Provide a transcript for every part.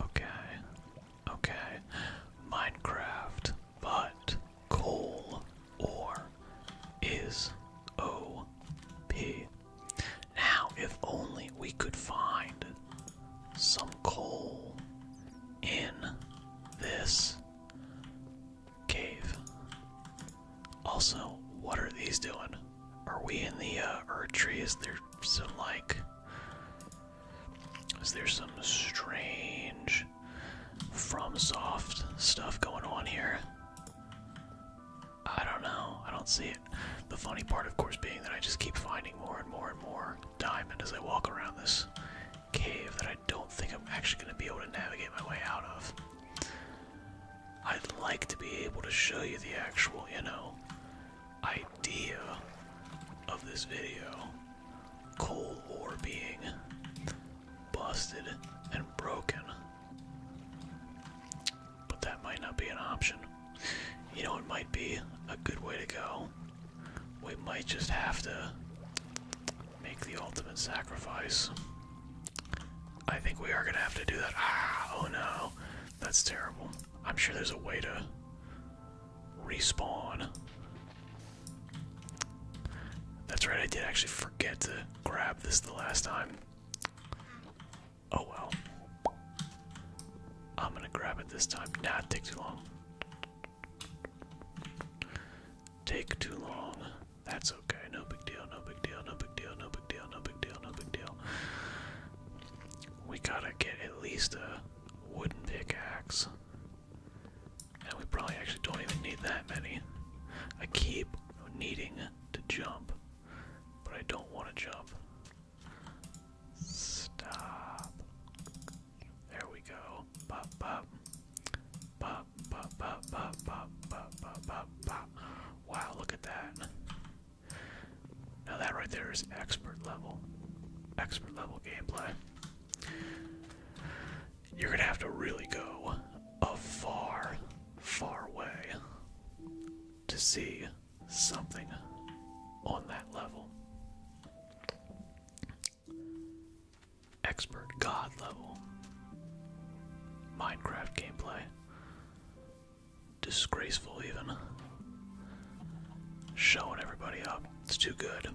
Okay. Okay. Minecraft, but coal ore is OP. Now, if only we could find some coal in this cave. Also, what are these doing? Are we in the uh, earth trees? They're so like is there some strange from soft stuff going on here. I don't know. I don't see it. The funny part, of course, being that I just keep finding more and more and more diamond as I walk around this cave that I don't think I'm actually going to be able to navigate my way out of. I'd like to be able to show you the actual, you know, idea of this video Cold War being busted and broken. But that might not be an option. You know, it might be a good way to go. We might just have to make the ultimate sacrifice. I think we are gonna have to do that. Ah, oh no, that's terrible. I'm sure there's a way to Respawn. That's right, I did actually forget to grab this the last time. Oh well. I'm gonna grab it this time. Nah, take too long. Take too long. That's okay. No big deal, no big deal, no big deal, no big deal, no big deal, no big deal. We gotta get at least a wooden pickaxe. And we probably actually don't even need that many. I keep needing to jump, but I don't want to jump. Stop. There we go. Pop, pop. Pop, pop, pop, pop, pop, pop, pop, Wow, look at that. Now that right there is expert level. Expert level gameplay. You're gonna have to really go a far, far way to see something on that level. Expert God level. Minecraft gameplay. Disgraceful, even. Showing everybody up. It's too good.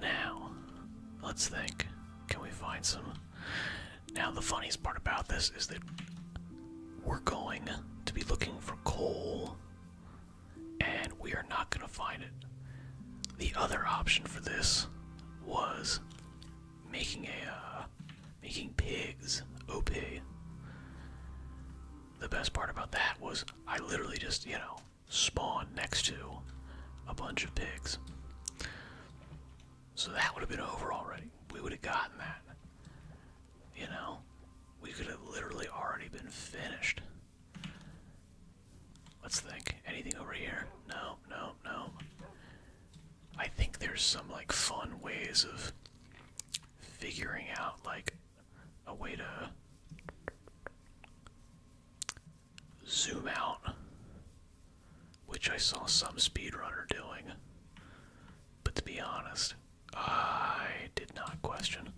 Now, let's think. Can we find some? Now, the funniest part about this is that we're going to be looking for coal and we are not going to find it. The other option for this was making a uh, making pigs OP. The best part about that was I literally just, you know, spawned next to a bunch of pigs. So that would have been over already. We would have gotten that. You know? We could have literally already been finished. Let's think. Anything over here? No, no, no. I think there's some like fun ways of figuring out like a way to zoom out, which I saw some speedrunner doing. But to be honest, I did not question.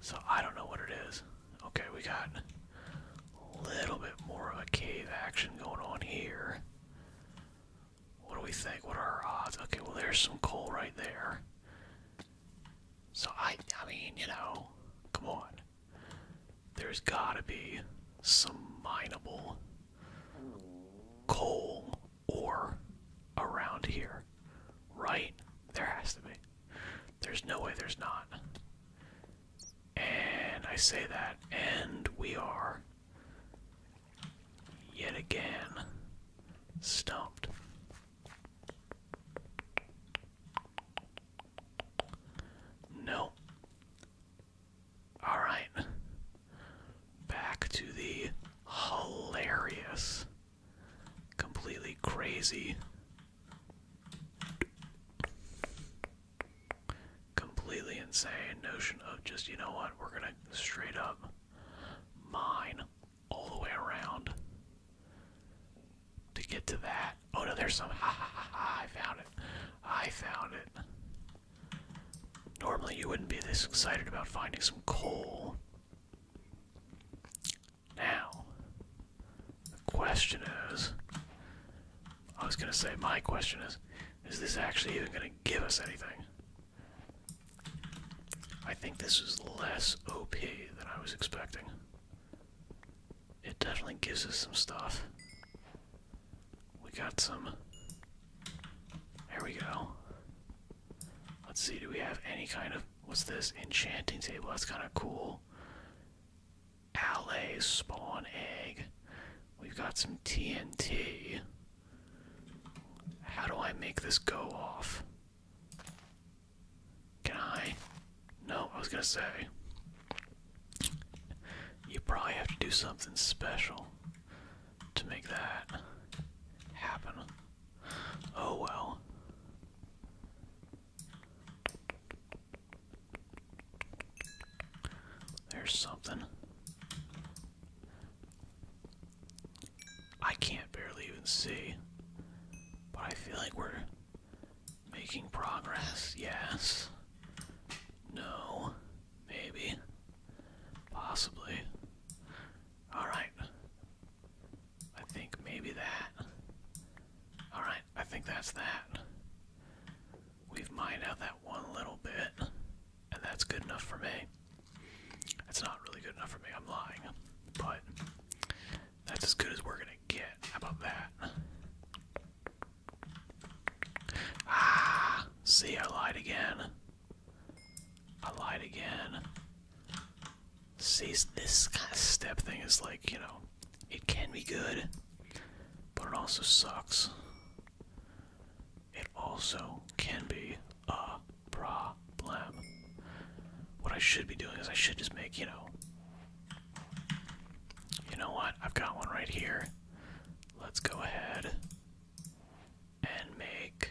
So I don't know what it is. Okay, we got a little bit more of a cave action going on here. What do we think? What are our odds? Okay, well there's some coal right there. So I I mean, you know, come on. There's gotta be some mineable coal ore around here. Right? There has to be. There's no way there's not. And I say that, and we are yet again stopped. No. Alright. Back to the hilarious, completely crazy, completely insane notion of just, you know what, we're gonna straight up mine all the way around to get to that. Oh no, there's some. I found it. I found it. Normally, you wouldn't be this excited about finding some coal. Now, the question is I was going to say, my question is, is this actually even going to give us anything? I think this is less OP than I was expecting. It definitely gives us some stuff. We got some. There we go. Let's see, do we have any kind of. What's this? Enchanting table. That's kind of cool. Alley, spawn egg. We've got some TNT. How do I make this go off? Can I? No, I was gonna say. You probably have to do something special to make that happen. Oh well. There's something. I can't barely even see. But I feel like we're making progress. Yes. No. Maybe. Possibly. Alright. I think maybe that. Alright, I think that's that. We've mined out that one little bit, and that's good enough for me. That's not really good enough for me, I'm lying. But that's as good as we're gonna get. about that? Ah, see, I lied again. I lied again. See, this step thing is like, you know, it can be good, but it also sucks it also can be a problem. What I should be doing is I should just make, you know, you know what? I've got one right here. Let's go ahead and make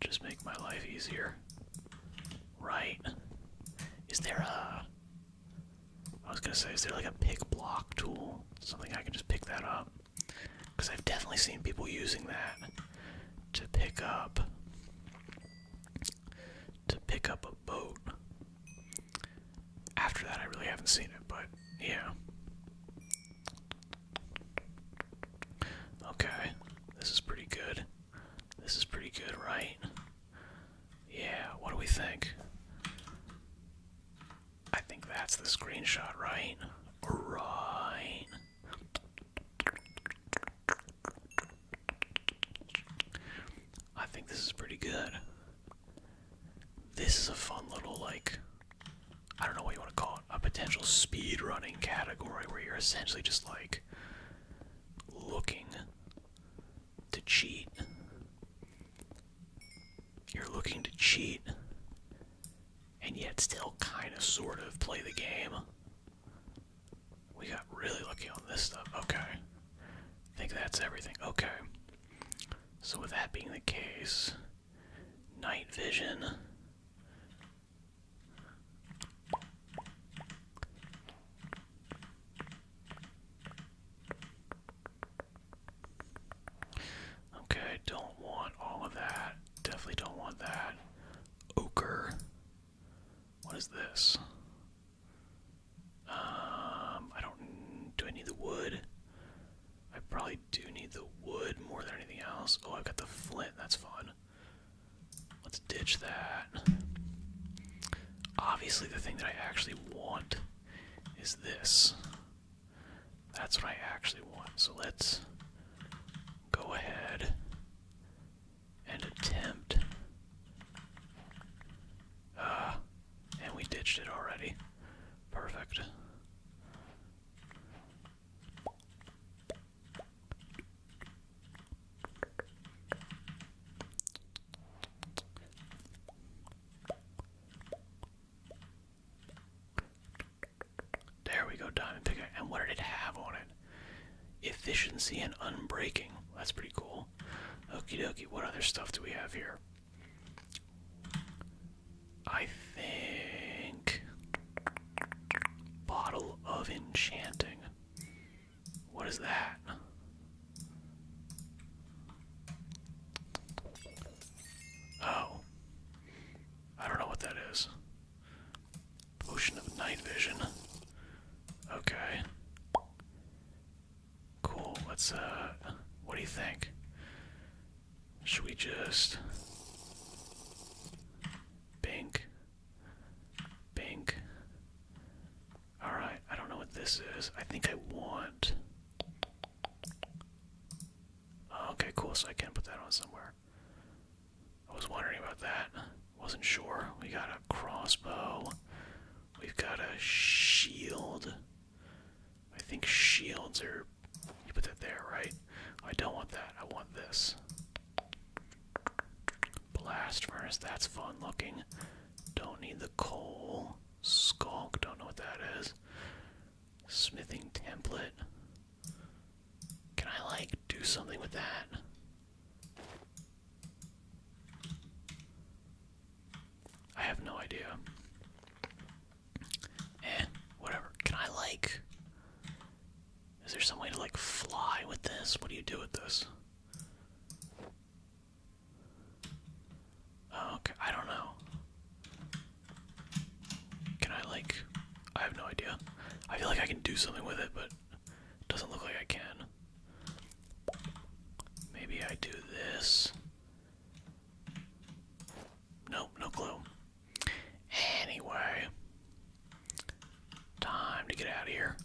just make my life easier. Right. Is there a I was gonna say, is there like a pick block tool? Something I can just pick that up. Because I've definitely seen people using that to pick up to pick up a boat. After that I really haven't seen it, but yeah. Okay. This is pretty good. This is pretty good, right? Yeah, what do we think? I think that's the screenshot, right? Right. I think this is pretty good. This is a fun little, like, I don't know what you want to call it, a potential speed running category where you're essentially just like looking to cheat you're looking to cheat and yet still kind of sort of play the game. We got really lucky on this stuff. Okay. I think that's everything. Okay. So with that being the case, night vision Okay, don't want all of that. Definitely don't want that. Ochre. What is this? Um, I don't. Do I need the wood? I probably do need the wood more than anything else. Oh, I've got the flint. That's fun. Let's ditch that. Obviously, the thing that I actually want is this. That's what I actually want. So let's go ahead and attempt. Ah, and we ditched it already. Perfect. There we go, diamond picker. And what did it have on it? Efficiency and unbreaking. That's pretty cool. Okey dokey. what other stuff do we have here? I think. Bottle of Enchanting. What is that? Oh. I don't know what that is. Potion of night vision. Okay. Cool. Let's, uh, what do you think? Should we just. Pink. Pink. Alright, I don't know what this is. I think I want. Oh, okay, cool. So I can put that on somewhere. I was wondering about that. Wasn't sure. We got a crossbow. We've got a shield. I think shields are. You put that there, right? I don't want that. I want this. Blast furnace. That's fun looking. Don't need the coal. Skulk, don't know what that is. Smithing template. Can I, like, do something with that? I have no idea. Eh, whatever. Can I, like. Is there some way to, like, fly with this? What do you do with this? Oh, okay, I don't know. Can I, like, I have no idea. I feel like I can do something with it, but it doesn't look like I can. Maybe I do this. Nope, no clue. Anyway, time to get out of here.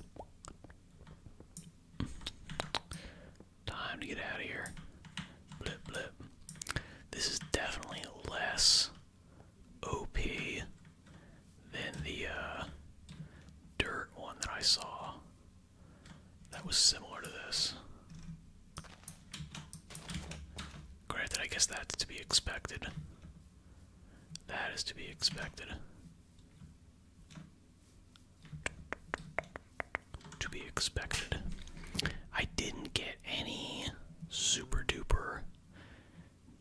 Time to get out of here. Blip, blip. This is definitely less OP than the uh, dirt one that I saw. That was similar to this. Granted, I guess that's to be expected. That is to be expected. To be expected. I didn't get any super duper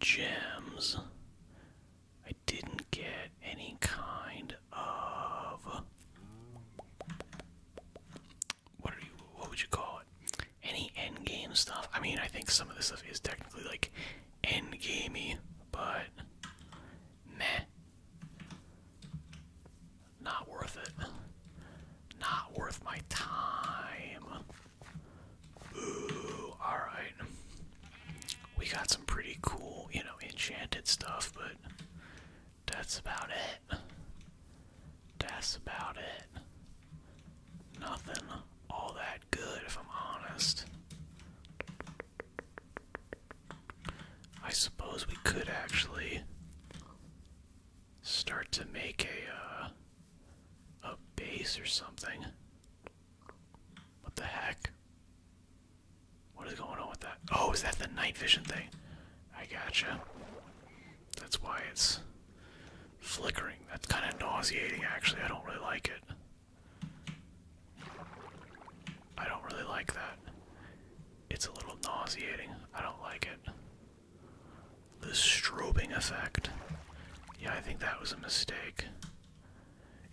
gems. I didn't get any kind of what are you what would you call it? Any end game stuff? I mean I think some of this stuff is technically like end gamey, but meh. Not worth it. Not worth my time. alright. We got some pretty cool, you know, enchanted stuff, but that's about it. That's about it. Nothing all that good, if I'm honest. I suppose we could actually start to make a uh, a base or something. What the heck? What is going on with that? Oh, is that the night vision thing? I gotcha. That's why it's flickering. That's kind of nauseating, actually. I don't really like it. I don't really like that. It's a little nauseating. I don't like it. The strobing effect. Yeah, I think that was a mistake.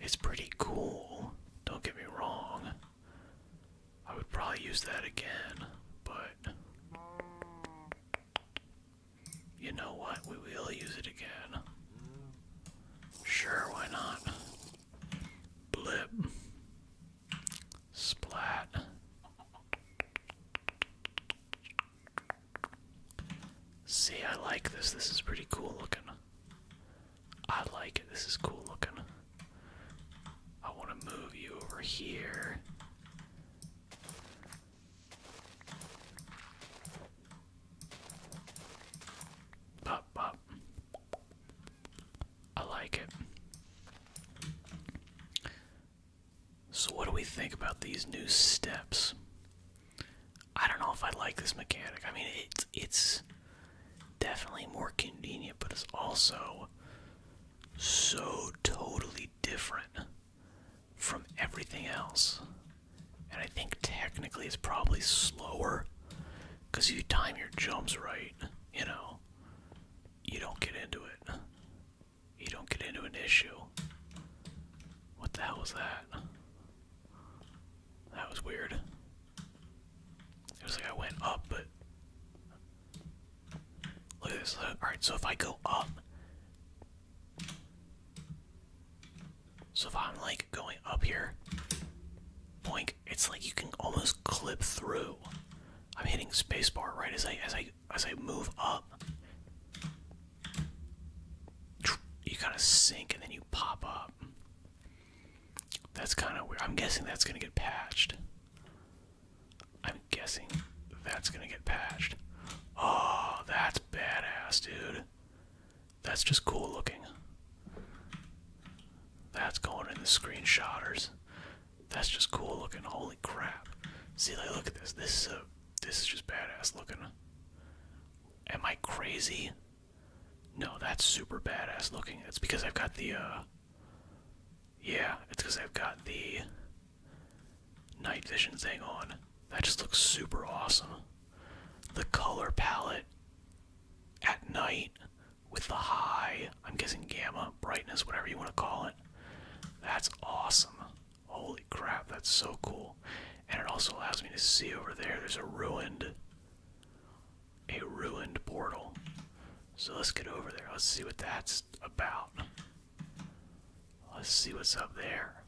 It's pretty cool, don't get me wrong. I would probably use that again, but. You know what? We will use it again. Sure, why not? Blip. Splat. See, I like this. This is pretty cool looking. I like it. This is cool looking. I want to move you over here. Pop, pop. I like it. So, what do we think about these new steps? I don't know if I like this mechanic. I mean, it's it's definitely more convenient, but it's also so totally different from everything else. And I think technically it's probably slower because you time your jumps right, you know you don't get into it. You don't get into an issue. What the hell was that? That was weird. It was like I went up, but. Look at this. Alright, so if I go up. So if I'm like going up here, boink, it's like you can almost clip through. I'm hitting spacebar right as I as I as I move up. You kind of sink and then you pop up. That's kind of weird. I'm guessing that's gonna get patched. I'm guessing that's gonna get patched. Oh, that's badass, dude. That's just cool looking. That's going in the screenshotters. That's just cool looking. Holy crap! See, like, look at this. This is a this is just badass looking. Am I crazy? No, that's super badass looking. That's because I've got the uh. Yeah, it's because I've got the night vision thing on. That just looks super awesome. The color palette at night with the high, I'm guessing gamma, brightness, whatever you want to call it. That's awesome. Holy crap, that's so cool. And it also allows me to see over there there's a ruined a ruined portal. So let's get over there. Let's see what that's about. Let's see what's up there.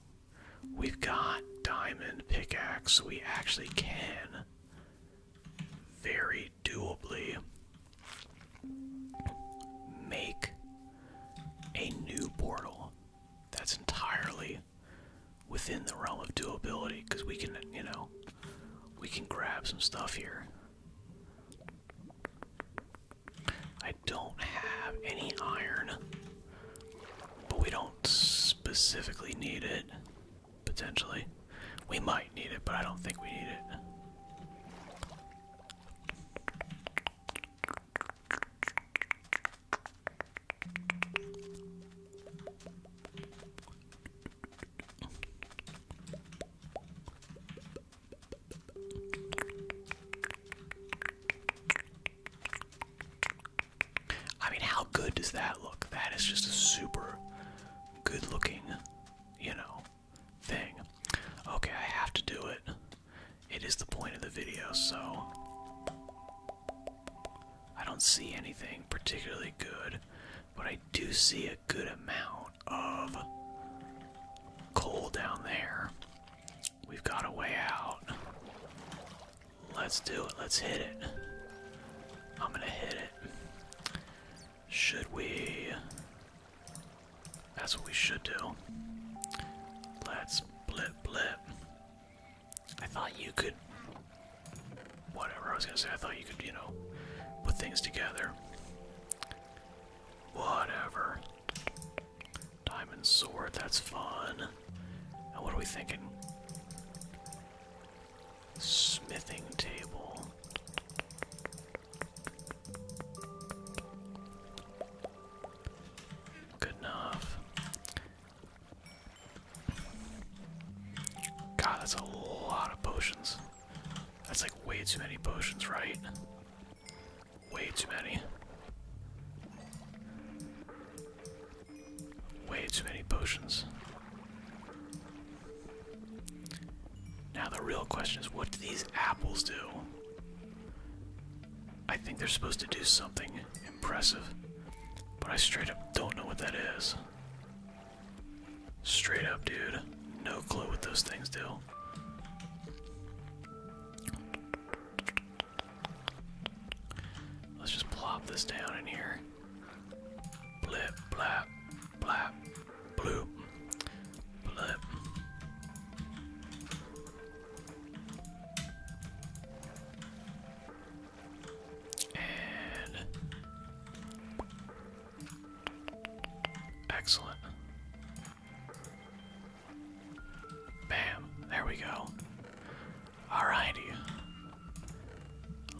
We've got diamond pickaxe. We actually can very very doably make a new portal that's entirely within the realm of doability because we can, you know, we can grab some stuff here. I don't have any iron, but we don't specifically need it potentially. We might need it, but I don't think we need it. I mean, how good does that look? That is just a super good looking you know, thing. Okay, I have to do it. It is the point of the video, so. I don't see anything particularly good, but I do see a good amount of coal down there. We've got a way out. Let's do it. Let's hit it. I'm gonna hit it. Should we? That's what we should do. Let's blip blip. I thought you could. Whatever I was gonna say, I thought you could, you know, put things together. Whatever. Diamond sword, that's fun. And what are we thinking? Smithing table. Good enough. God, that's a lot of potions. That's like way too many potions, right? Way too many. Way too many potions. Now the real question is what do these apples do? I think they're supposed to do something impressive, but I straight up don't know what that is. Straight up, dude. No clue what those things do. Let's just plop this down in here. Blip, blap, blap, bloop, blip. And excellent. Bam, there we go. Alrighty.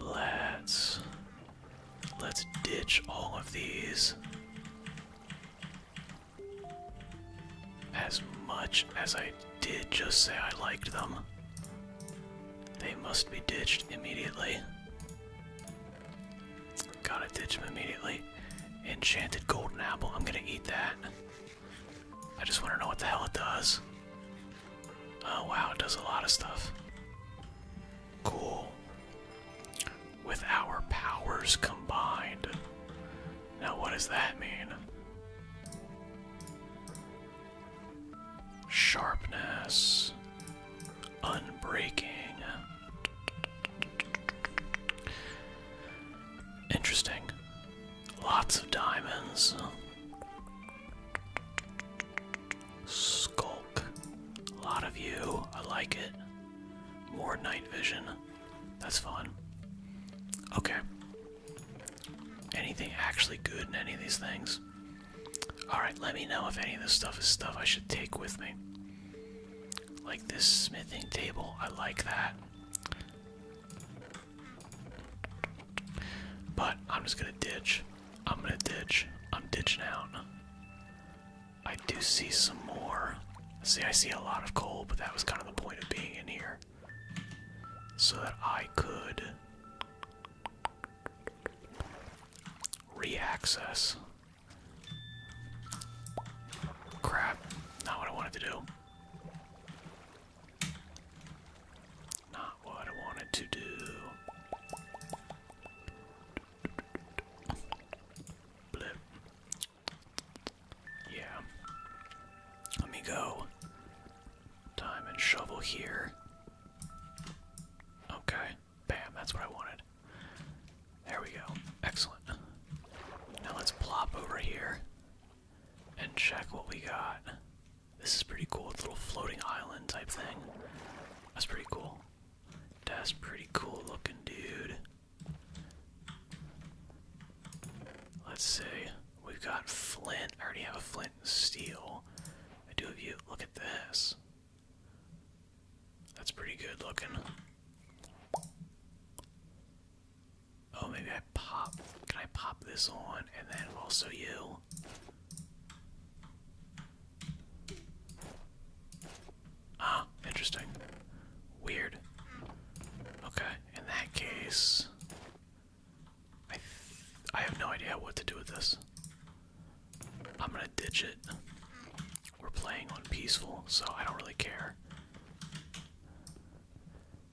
Let's Let's ditch all of these. As much as I did just say I liked them, they must be ditched immediately. Gotta ditch them immediately. Enchanted golden apple, I'm gonna eat that. I just wanna know what the hell it does. Oh wow, it does a lot of stuff. Cool. With our powers combined. Now, what does that mean? Sharpness. Unbreaking. Interesting. Lots of diamonds. Skull a lot of you. I like it. More night vision. That's fun. Okay. Anything actually good in any of these things? Alright, let me know if any of this stuff is stuff I should take with me. Like this smithing table. I like that. But I'm just gonna ditch I'm gonna ditch. I'm ditching out. I do see some more. See, I see a lot of coal, but that was kind of the point of being in here. So that I could re-access. Crap, not what I wanted to do. Not what I wanted to do. Blip. Yeah. Let me go. Time shovel here. Okay. Bam, that's what I wanted. There we go. Excellent. Now let's plop over here and check what we got. This is pretty cool. It's little floating island type thing. That's pretty cool. That's pretty cool looking, dude. Let's see. We've got flint. I already have a flint and steel. I do have you. Look at this. That's pretty good looking. Oh, maybe I pop. Can I pop this on? And then also you. Ah, interesting. Weird. Okay, in that case, I I have no idea what to do with this. I'm gonna ditch it. We're playing on peaceful, so I don't really care.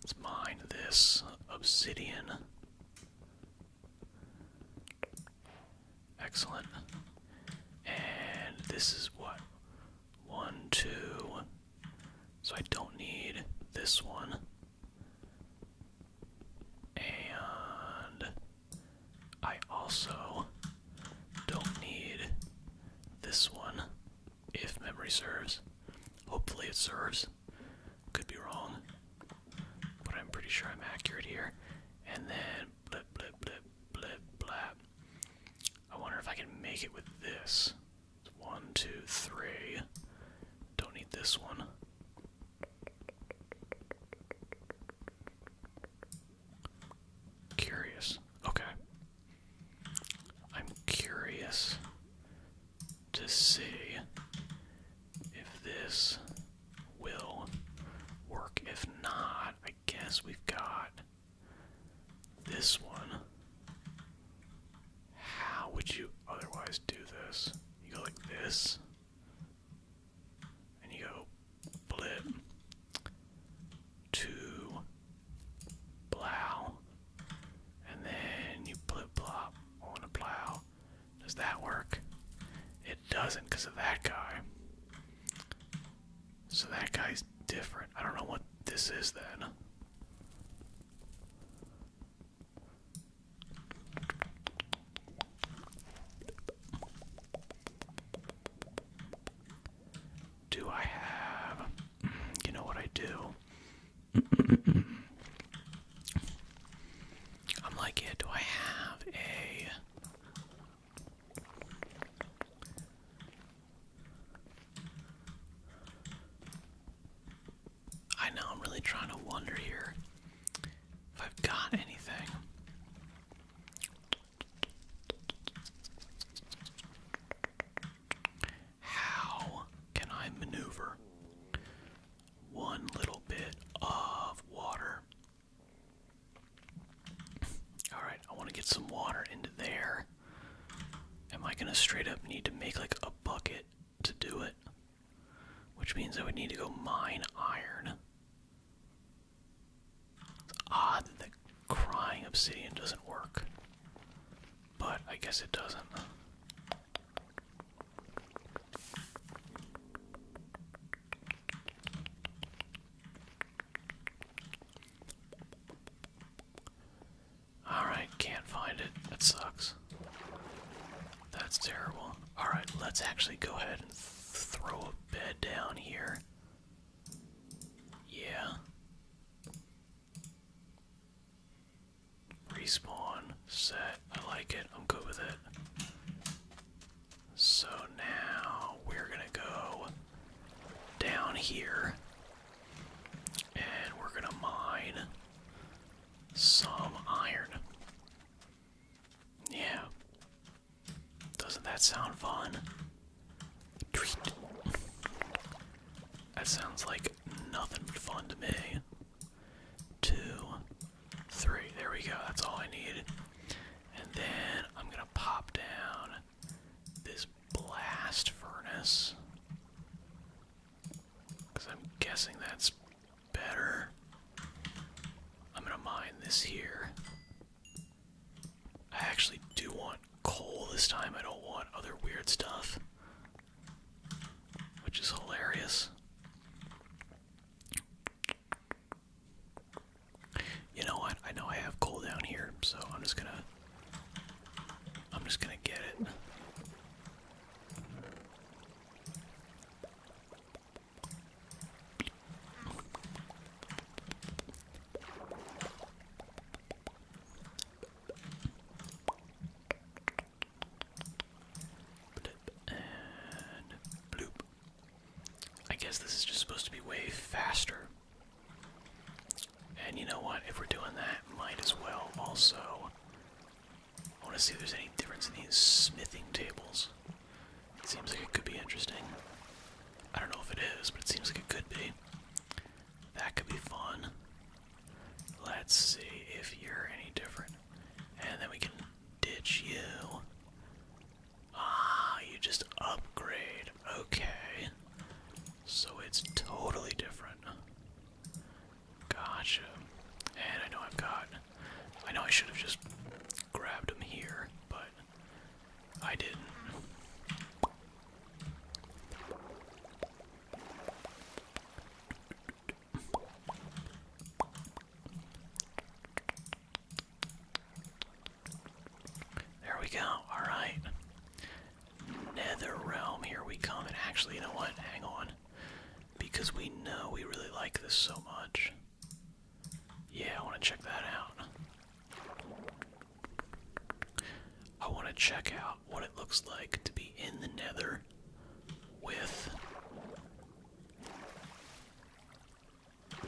Let's mine this obsidian. Excellent. And this is what? One, two. So I don't need this one. And I also don't need this one, if memory serves. Hopefully it serves. Could be wrong, but I'm pretty sure I'm accurate here. And then blip, blip, blip, blip, blap. I wonder if I can make it with this. One, two, three. Don't need this one. Curious. Okay. I'm curious to see if this will work. If not, I guess we've got this one. How would you otherwise do this? You go like this, and you go blip to plow, and then you blip plop on a plow. Does that work? It doesn't because of that guy. So that guy's different. I don't know what this is then. Do I have. You know what I do? I'm like, yeah, do I have a. I know, I'm really trying to wonder here if I've got anything. How can I maneuver? one little bit of water. Alright, I want to get some water into there. Am I going to straight up need to make like a bucket to do it? Which means I would need to go mine iron. It's odd that crying obsidian doesn't work. But I guess it doesn't. Alright, can't find it. That sucks. That's terrible. Alright, let's actually go ahead and throw a bed down here. Yeah. Respawn. Set. I like it. I'm good with it. So now we're gonna go down here and we're gonna mine some iron. Yeah. Doesn't that sound fun? That sounds like nothing fun to me two, three. There we go. That's all I need. And then I'm going to pop down this blast furnace. Because I'm guessing that's better. I'm going to mine this here. I actually do want coal this time. I don't want other weird stuff. Which is hilarious. You know what? I know I have coal down here, so I'm just gonna I'm just gonna get it. I guess this is just supposed to be way faster. And you know what? If we're doing that, might as well also. I want to see if there's any difference in these smithing tables. seems like it could be interesting. I don't know if it is, but it seems like it could be. That could be fun. Let's see if you're any different. And then we can ditch you. Ah, you just upgrade. Okay. So it's totally different. Gotcha. And I know I've got. I know I should have just grabbed him here, but I didn't. There we go. All right. Nether realm, here we come. And actually, you know what? Hang on. Because we know we really like this so much. Yeah, I want to check that out. I want to check out what it looks like to be in the nether with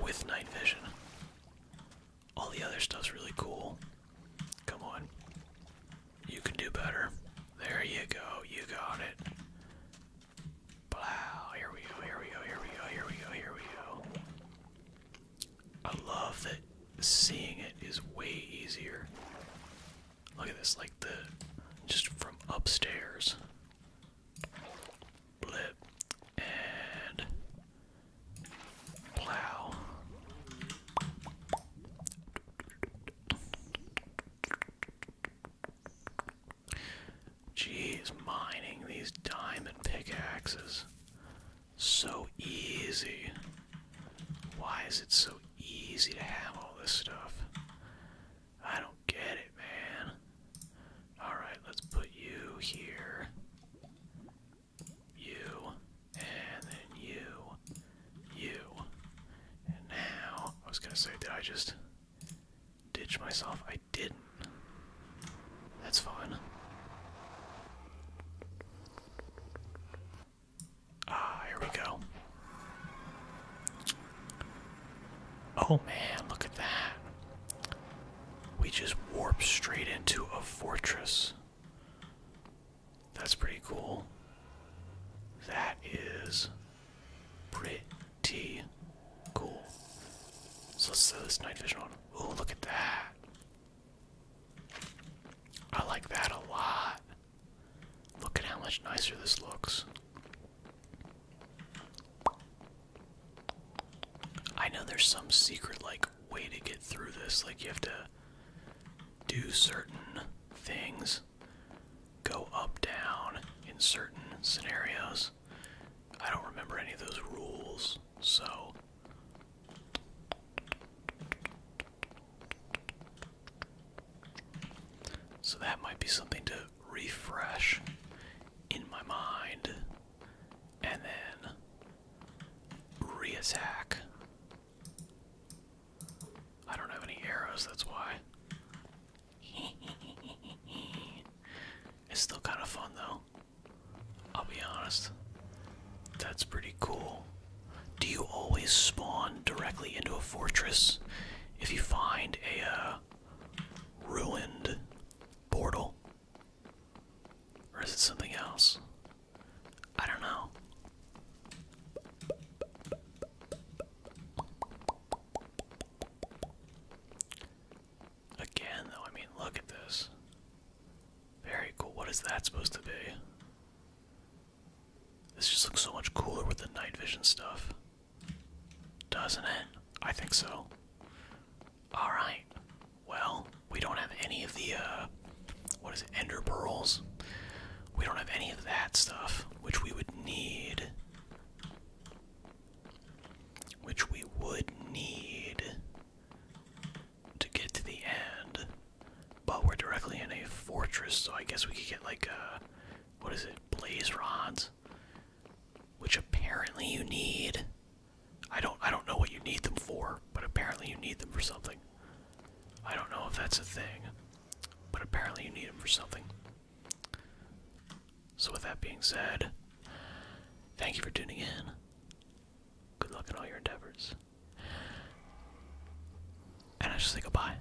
with night vision. All the other stuff's really cool. Come on. You can do better. There you go. You got it. Wow, here we go, here we go, here we go, here we go, here we go. I love that seeing it is way easier Look at this, like the just from upstairs. Blip and plow. Jeez, mining these diamond pickaxes. So easy. Why is it so easy to have all this stuff? I don't get it, man. Alright, let's put you here. You. And then you. You. And now, I was gonna say, did I just ditch myself? I didn't. That's fine. Ah, here we go. Oh man, look at that. We just warp straight into a fortress. That's pretty cool. That is pretty cool. So let's throw this night vision on. Oh, look at that. I like that a lot. Look at how much nicer this looks. I know there's some secret like way to get through this. Like you have to do certain things, go up down in certain scenarios. I don't remember any of those rules, so so that might be something to refresh in my mind and then reattack. I don't have any arrows, that's why. it's still kind of fun though. I'll be honest. That's pretty cool. Do you always spawn directly into a fortress? If you find a uh, ruined portal? Or is it something else? I don't know. Again, though, I mean, look at this. Very cool. What is that supposed to be? This just looks so much cooler with the night vision stuff. Doesn't it? I think so. Alright. Well, we don't have any of the, uh, what is it, ender pearls? We don't have any of that stuff, which we would need. Which we would need to get to the end. But we're directly in a fortress, so I guess we could get like a uh, what is it? Blaze rods, which apparently you need. I don't I don't know what you need them for, but apparently you need them for something. I don't know if that's a thing, but apparently you need them for something. So with that being said, thank you for tuning in. Good luck in all your endeavors. And I just say goodbye.